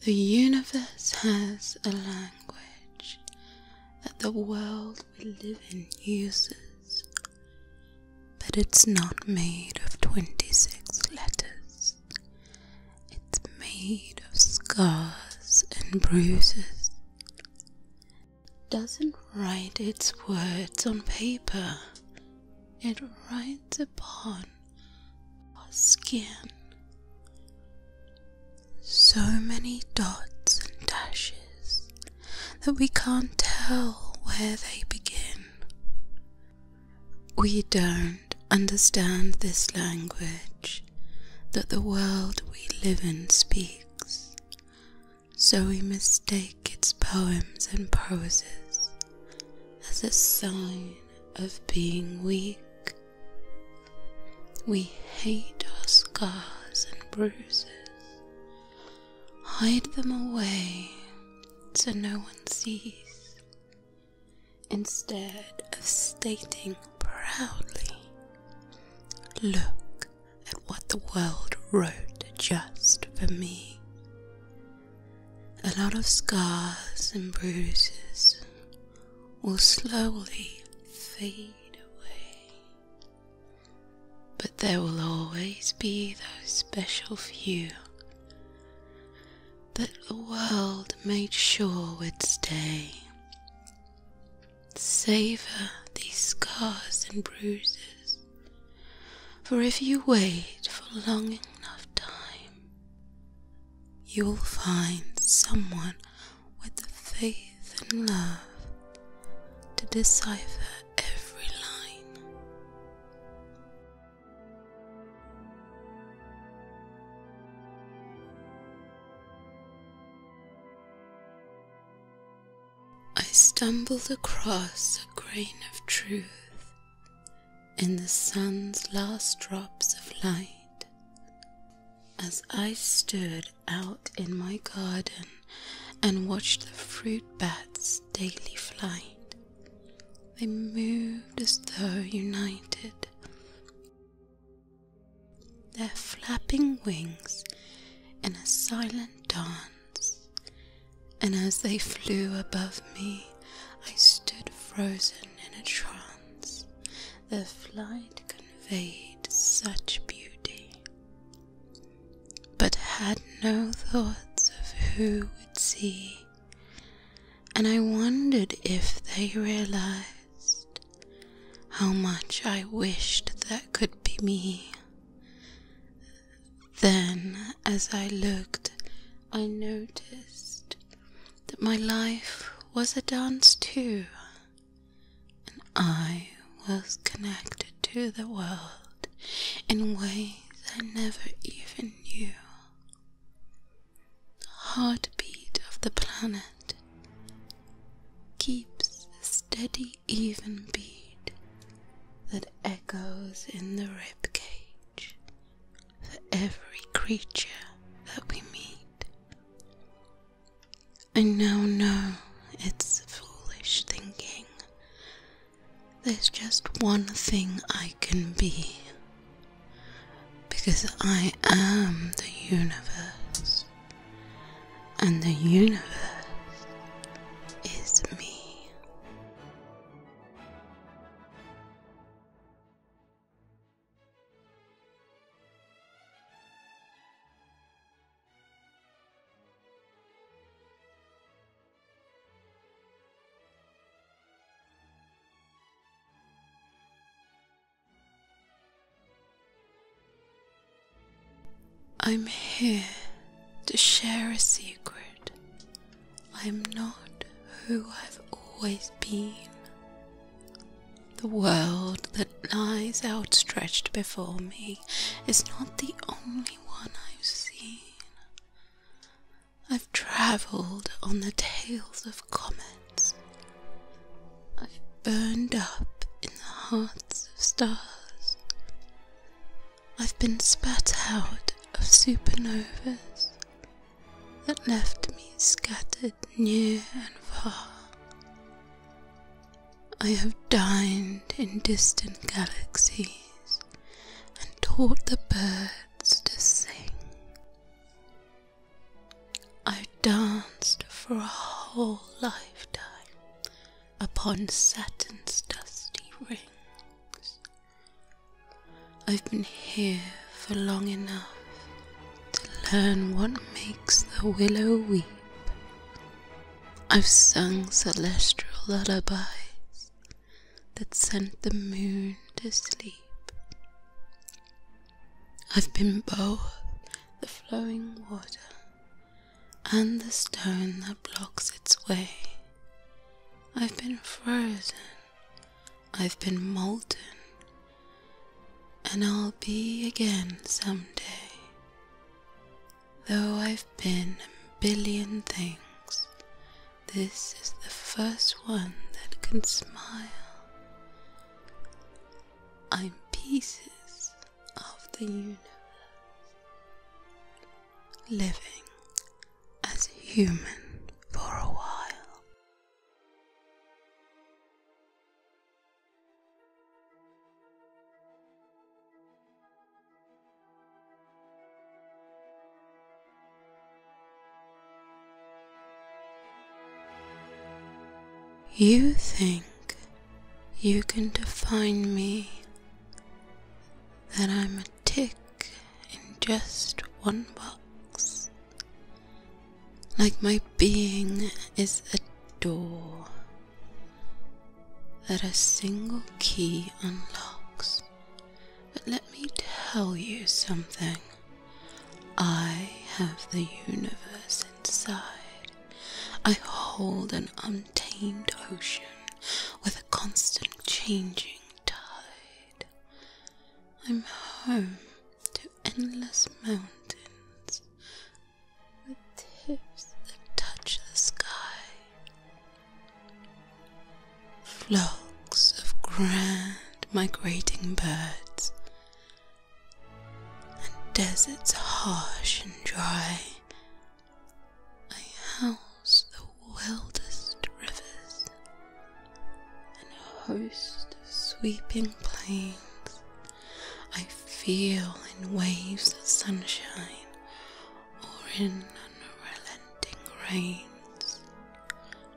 The universe has a language that the world we live in uses, but it's not made of 26 letters, it's made of scars and bruises. doesn't write its words on paper, it writes upon our skin. So many dots and dashes that we can't tell where they begin. We don't understand this language that the world we live in speaks, so we mistake its poems and proses as a sign of being weak. We hate our scars and bruises, hide them away so no one sees, instead of stating proudly, Look at what the world wrote just for me a lot of scars and bruises will slowly fade away. But there will always be those special few that the world made sure would stay. Savor these scars and bruises, for if you wait for long enough time, you will find someone with the faith and love to decipher every line. I stumbled across a grain of truth in the sun's last drops of light as I stood out in my garden and watched the fruit bats' daily flight. They moved as though united, their flapping wings in a silent dance, and as they flew above me, I stood frozen in a trance. The flight conveyed such beauty, but had no thoughts of who would see, and I wondered if they realized how much I wished that could be me. Then, as I looked, I noticed that my life was a dance too, and I was connected to the world in ways I never even knew. The heartbeat of the planet keeps a steady, even beat that echoes in the ribcage for every creature that we meet. I now know it's foolish thinking. There's just one thing I can be. Because I am the universe, and the universe is me. I'm here to share a secret I'm not who I've always been. The world that lies outstretched before me is not the only one I've seen. I've travelled on the tails of comets. I've burned up in the hearts of stars. I've been spat out of supernovas that left me scattered near and far. I have dined in distant galaxies and taught the birds to sing. I've danced for a whole lifetime upon Saturn's dusty rings. I've been here for long enough to learn what makes the willow weep. I've sung celestial lullabies that sent the moon to sleep. I've been both the flowing water and the stone that blocks its way. I've been frozen, I've been molten, and I'll be again someday. Though I've been a billion things, this is the first one that can smile. I'm pieces of the universe, living as human for a while. You think you can define me that I'm a tick in just one box. Like my being is a door that a single key unlocks. But let me tell you something. I have the universe inside. I hold an untamed ocean with a constant changing tide. I'm home to endless mountains with tips that touch the sky. Flocks of grand migrating birds and deserts harsh and dry I house the wildest rivers and a host of sweeping plains. I feel in waves of sunshine or in unrelenting rains.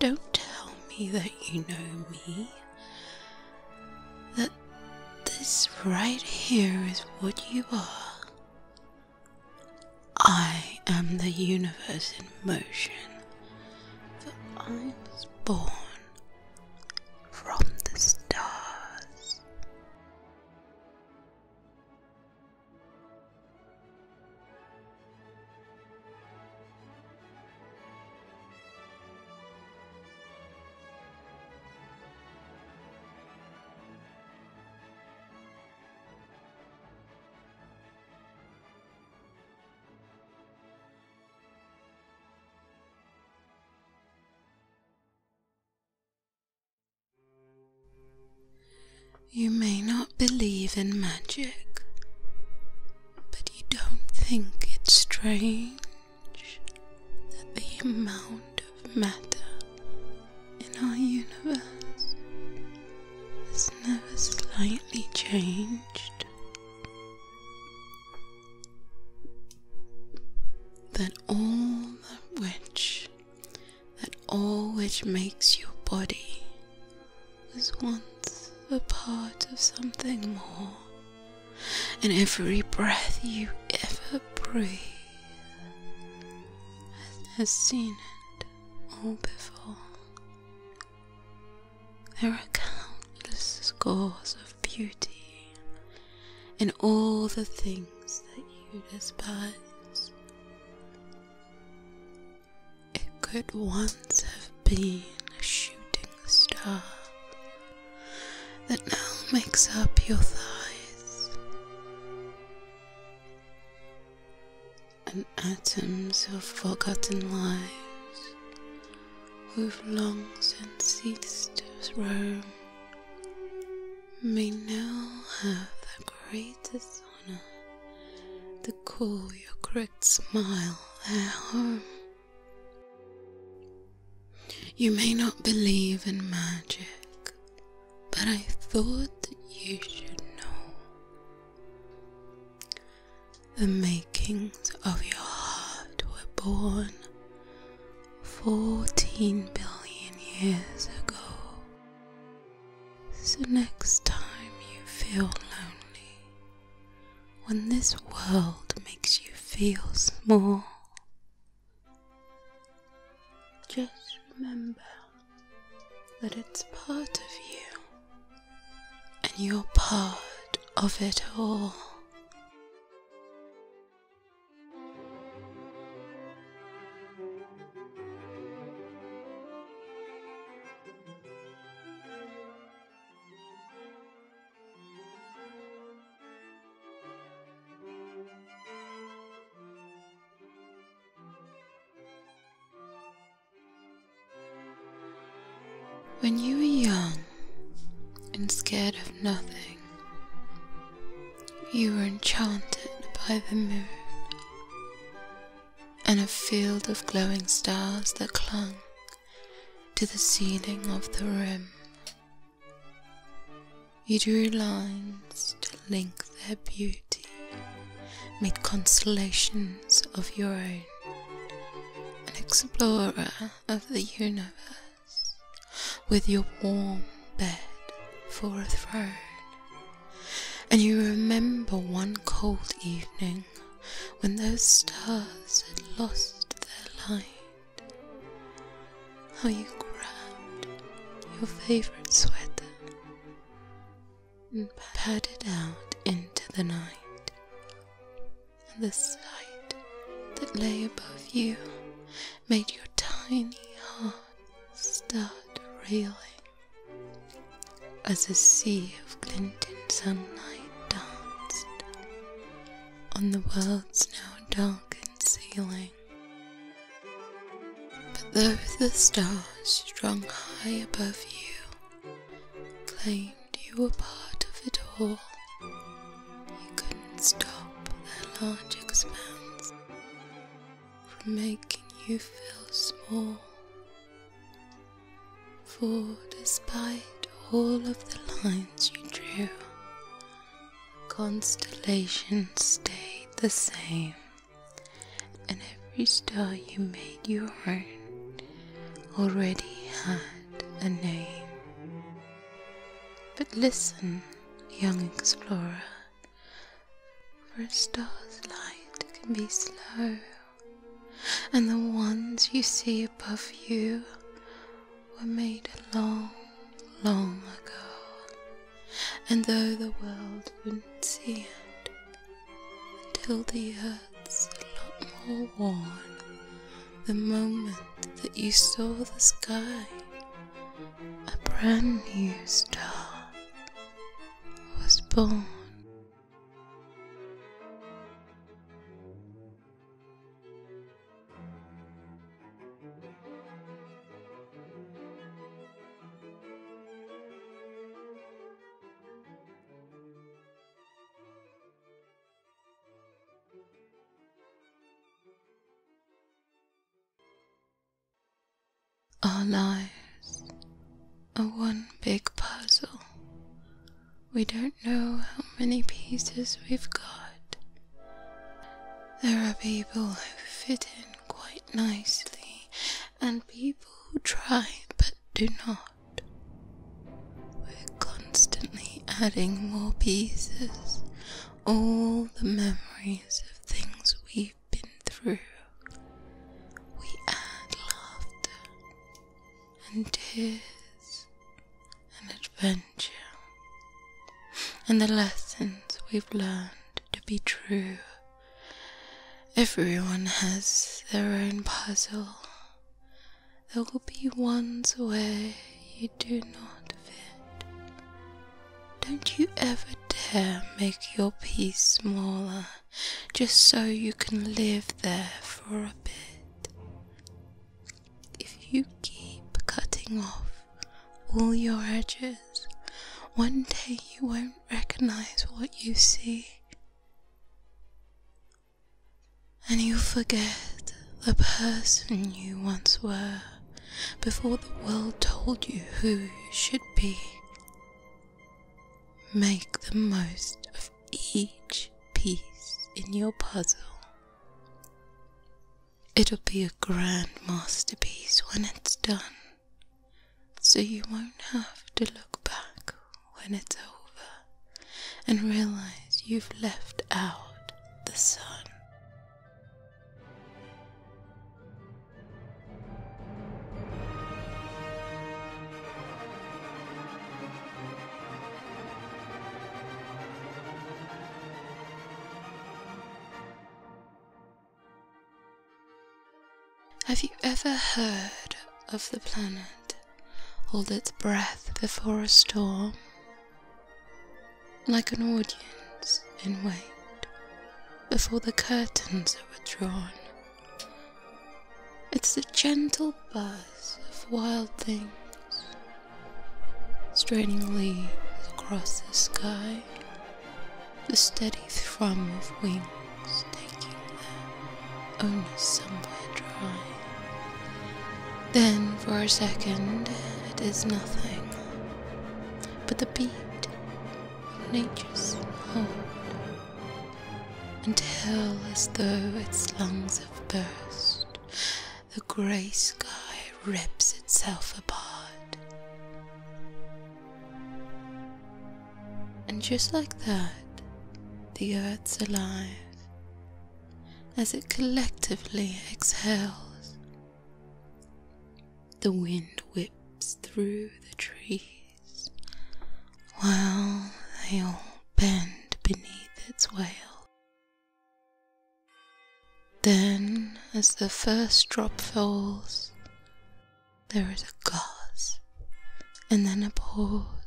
Don't tell me that you know me. That this right here is what you are. I am the universe in motion, for I was born from the stars. You may not believe in magic, but you don't think it's strange that the amount of matter in our universe has never slightly changed. That all which, that all which makes your body was once a part of something more, and every breath you ever breathe and has seen it all before. There are countless scores of beauty in all the things that you despise. It could once have been a shooting star that now makes up your thighs and atoms of forgotten lives who've long since ceased to roam may now have the greatest honor to call your crooked smile their home. You may not believe in magic but I thought that you should know the makings of your heart were born 14 billion years ago. So, next time you feel lonely, when this world makes you feel small, just remember that it's part of you, and you're part of it all. When you were young and scared of nothing, you were enchanted by the moon and a field of glowing stars that clung to the ceiling of the room. You drew lines to link their beauty, made constellations of your own, an explorer of the universe, with your warm bed for a throne. And you remember one cold evening when those stars had lost their light how you grabbed your favorite sweater and patted out into the night, and the sight that lay above you made your tiny heart start reeling as a sea of glinting sunlight danced on the world's now darkened ceiling. Though the stars strung high above you claimed you were part of it all, you couldn't stop their large expanse from making you feel small. For despite all of the lines you drew, constellations stayed the same, and every star you made your own already had a name. But listen, young explorer, for a star's light can be slow, and the ones you see above you were made long, long ago, and though the world wouldn't see it until the earth's a lot more worn, the moment that you saw the sky, a brand new star was born. Our lives are one big puzzle. We don't know how many pieces we've got, there are people who fit in quite nicely, and people who try but do not. We're constantly adding more pieces, all the memories of things we've been through. We add laughter and tears and adventure, and the lessons we've learned to be true. Everyone has their own puzzle. There will be ones where you do not fit. Don't you ever dare make your piece smaller just so you can live there for a bit. If you keep cutting off all your edges, one day you won't recognize what you see, and you'll forget the person you once were before the world told you who you should be. Make the most of each piece in your puzzle. It'll be a grand masterpiece when it's done, so you won't have to look back when it's over and realize you've left out the sun. Have you ever heard of the planet hold its breath before a storm? Like an audience in wait before the curtains are withdrawn. It's the gentle buzz of wild things straining across the sky, the steady thrum of wings taking them only somewhere dry. Then for a second it is nothing but the beat of nature's heart, until as though its lungs have burst the grey sky rips itself apart. And just like that, the earth's alive as it collectively exhales. The wind whips through the trees while they all bend beneath its wail. Then, as the first drop falls, there is a gasp and then a pause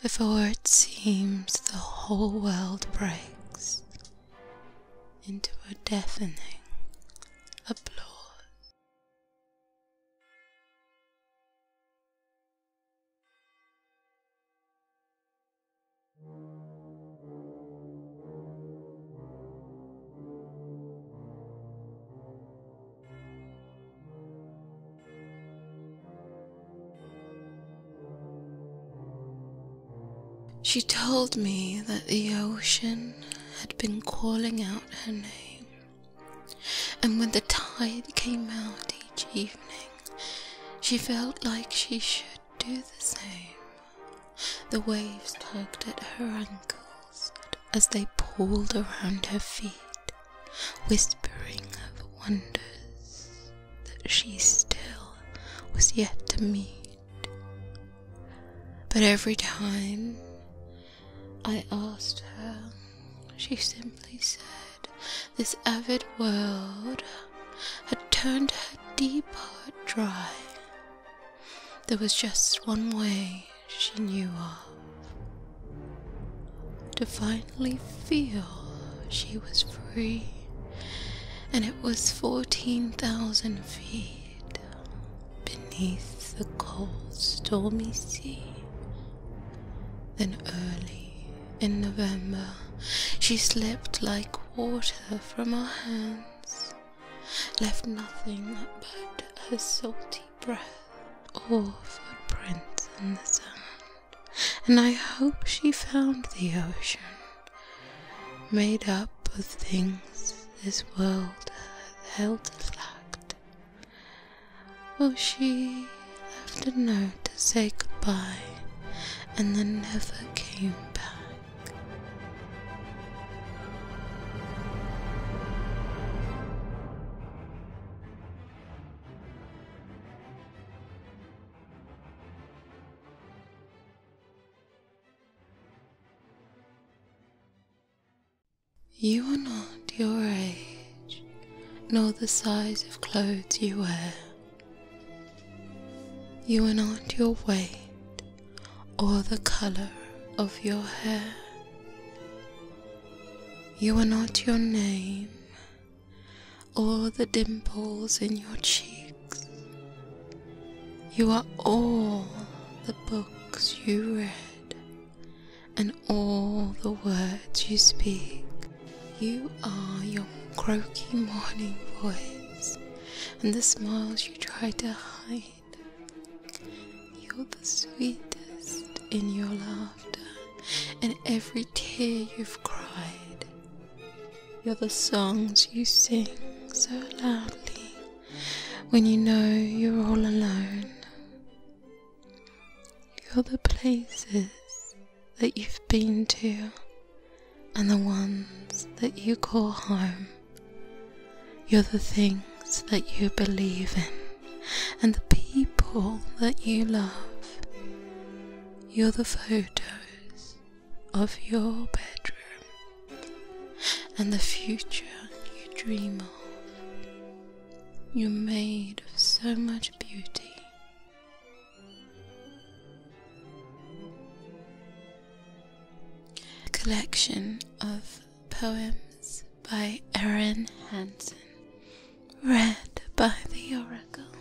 before it seems the whole world breaks into a deafening applause. She told me that the ocean had been calling out her name, and when the tide came out each evening, she felt like she should do the same. The waves tugged at her ankles as they pulled around her feet, whispering of wonders that she still was yet to meet. But every time I asked her, she simply said this avid world had turned her deep heart dry. There was just one way she knew of to finally feel she was free, and it was 14,000 feet beneath the cold, stormy sea. Then early in November. She slipped like water from our hands, left nothing but her salty breath or footprints in the sand. And I hope she found the ocean, made up of things this world held lacked well, she left a note to say goodbye and then never came back. You are not your age, nor the size of clothes you wear. You are not your weight, or the color of your hair. You are not your name, or the dimples in your cheeks. You are all the books you read and all the words you speak. You are your croaky morning voice and the smiles you try to hide. You're the sweetest in your laughter and every tear you've cried. You're the songs you sing so loudly when you know you're all alone. You're the places that you've been to and the ones that you call home. You're the things that you believe in and the people that you love. You're the photos of your bedroom and the future you dream of. You're made of so much beauty. collection of poems by Erin Hansen, read by the Oracle.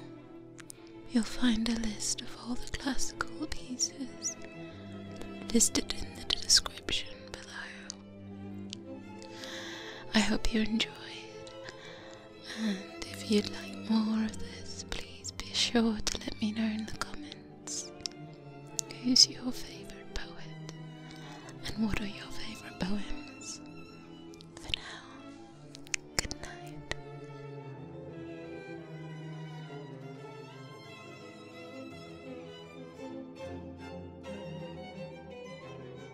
You'll find a list of all the classical pieces listed in the description below. I hope you enjoyed, and if you'd like more of this, please be sure to let me know in the comments who's your favourite poet and what are your favourite poems. For now, good night.